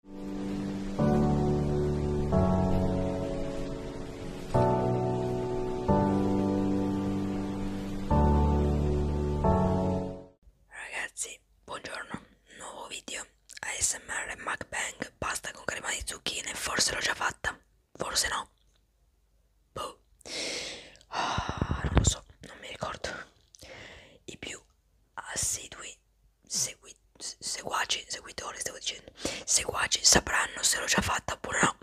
Ragazzi, buongiorno, nuovo video ASMR MacBang, pasta con crema di zucchine, forse l'ho già fatta, forse no. Boh. Ah, non lo so, non mi ricordo. I più assidui segui, seguaci, seguitori stavo dicendo, seguaci sapranno se l'ho già fatta oppure no.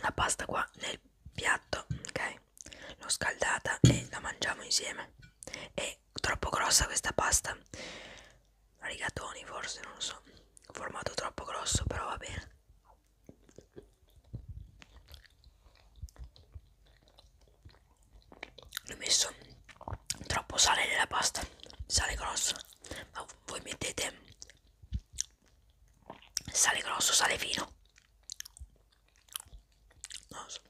La pasta qua nel piatto, ok? L'ho scaldata e la mangiamo insieme. È troppo grossa questa pasta. Rigatoni forse, non lo so. Formato troppo grosso, però va bene ho messo troppo sale nella pasta sale grosso ma voi mettete sale grosso sale fino non lo so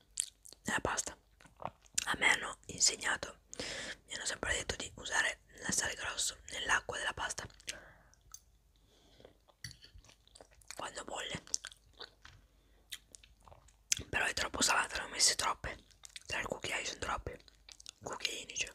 nella pasta a me hanno insegnato mi hanno sempre detto di usare la sale grosso nell'acqua della pasta quando bolle però è troppo salata ne ho messe troppe tra il cucchiaio sono troppe cucchiaini cioè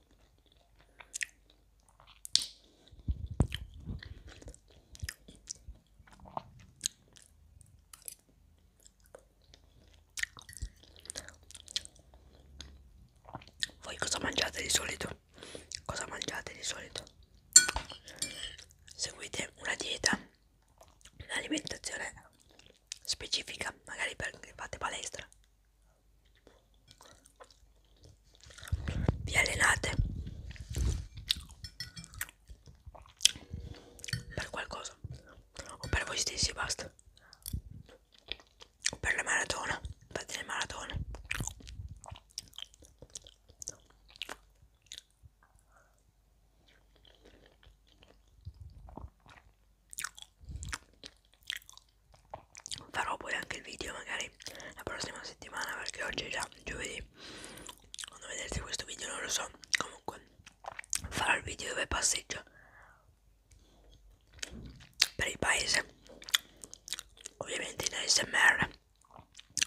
Voi cosa mangiate di solito? Cosa mangiate di solito? Seguite una dieta, un'alimentazione specifica, magari perché fate palestra vi allenate per qualcosa o per voi stessi basta o per la maratona fate le maratone farò poi anche il video magari la prossima settimana perché oggi è già giovedì quando vedrete questo video non lo so comunque farò il video dove passeggio per il paese ovviamente in ASMR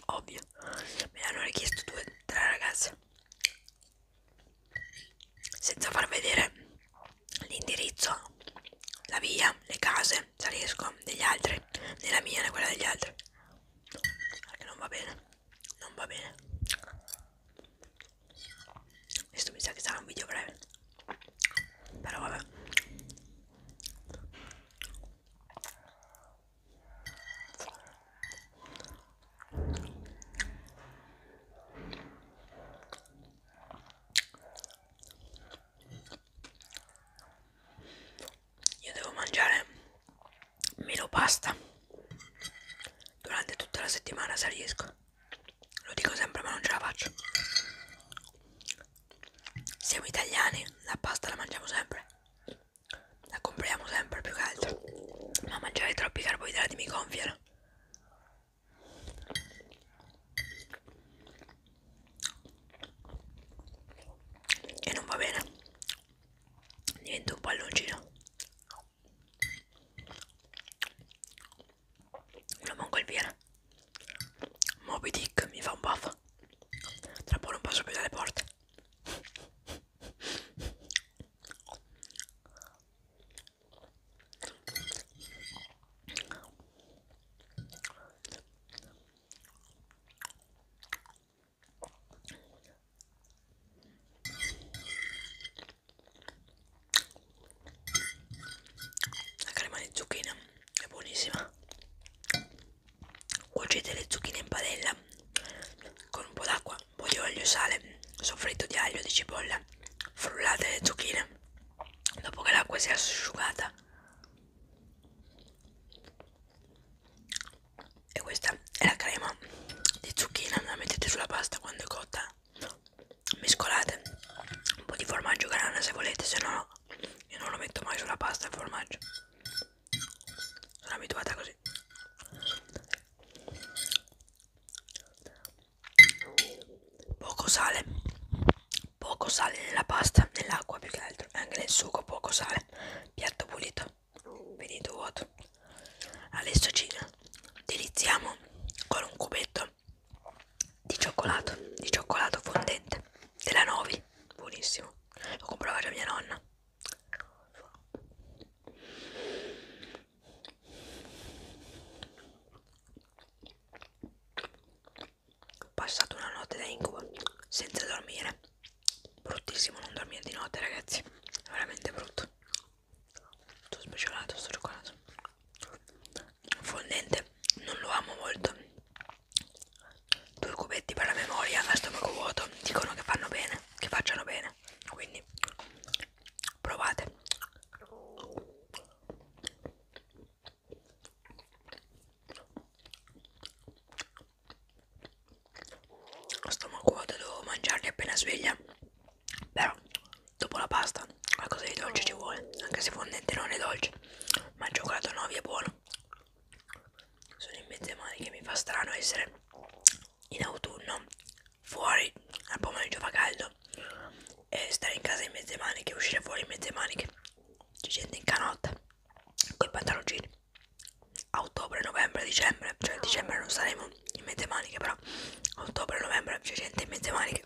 ovvio me l'hanno richiesto due tre ragazze senza far vedere l'indirizzo, la via, le case, salisco degli altri, né la mia né quella degli altri. Perché non va bene, non va bene. Questo mi sa che sarà un video breve. Però vabbè. Io devo mangiare meno pasta durante tutta la settimana se riesco. Lo dico sempre ma non ce la faccio. Siamo italiani, la pasta la mangiamo sempre. La compriamo sempre più che altro. Ma mangiare troppi carboidrati mi gonfiano e non va bene niente un palloncino lo manco il pieno Moby Dick mi fa un buff tra poco non passo più dalle porte la crema di zucchine è buonissima. Cuocete le zucchine in padella con un po' d'acqua, un po' di olio e sale, soffritto di aglio, di cipolla, zucchine frullate le zucchine dopo che l'acqua si è asciugata e questa è la crema di zucchina la mettete sulla pasta quando è cotta mescolate un po' di formaggio grana se volete se no io non lo metto mai sulla pasta il formaggio sono abituata così poco sale poco sale nella pasta nell'acqua più che altro anche nel sugo poco sale piatto pulito venito vuoto adesso ci deliziamo con un cubetto di cioccolato di cioccolato fondente della Novi buonissimo lo comprava già mia nonna ho passato una notte da incubo senza dormire. Bruttissimo non dormire di notte, ragazzi. È veramente brutto. Sto speciolato, sto cioccolato. Fondente, non lo amo molto. Due cubetti per la memoria a stomaco vuoto dicono che fanno bene, che facciano bene. Quindi provate stomaco devo mangiarli appena sveglia però dopo la pasta qualcosa di dolce ci vuole anche se fondente non è dolce ma il cioccolato 9 è buono sono in mezzo ai mani che mi fa strano essere in autunno fuori al pomeriggio fa caldo e stare in casa in mezze maniche, uscire fuori in mezze maniche. C'è gente in canotta con i pantaloncini. A ottobre, novembre, dicembre, cioè a dicembre non saremo in mezze maniche, però a ottobre, novembre c'è gente in mezze maniche.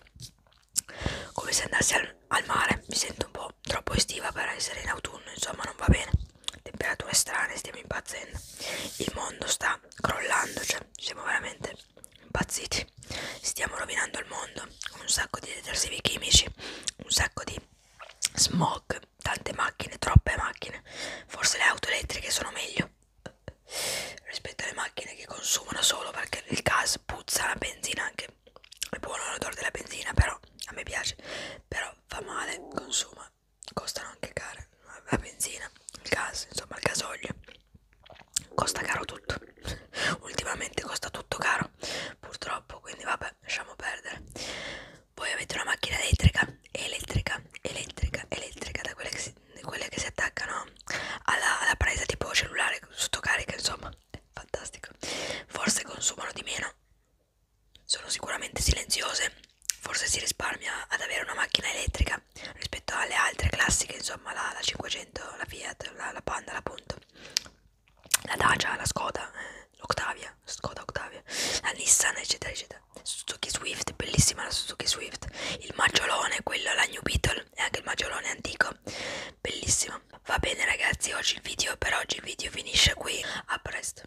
Come se andassi al, al mare, mi sento un po' troppo estiva per essere in autunno, insomma non va bene. Temperature strane, stiamo impazzendo. Il mondo sta sta crollando, cioè siamo veramente impazziti, stiamo rovinando il mondo con un sacco di detersivi chimici, un sacco di smog, tante macchine, troppe macchine, forse le auto elettriche sono meglio rispetto alle macchine che consumano solo perché il gas puzza la benzina anche è buono l'odore della benzina però a me piace però fa male consuma insomma costano anche care la benzina, il gas, insomma il gasolio costa caro tutto ultimamente costa tutto caro purtroppo quindi vabbè lasciamo perdere poi avete una macchina elettrica elettrica elettrica elettrica da quelle che si, quelle che si attaccano alla, alla presa tipo cellulare sottocarica insomma fantastico forse consumano di meno sono sicuramente silenziose, forse si risparmia ad avere una macchina elettrica rispetto alle altre classiche, insomma la, la 500, la Fiat, la, la Panda, la Punto, la Dacia, la Skoda, l'Octavia, eh, Skoda Octavia, la Nissan, eccetera, eccetera. Suzuki Swift, bellissima la Suzuki Swift, il maggiolone, quello, la New Beetle e anche il maggiolone antico, bellissimo. Va bene ragazzi, oggi il video per oggi il video finisce qui, a presto.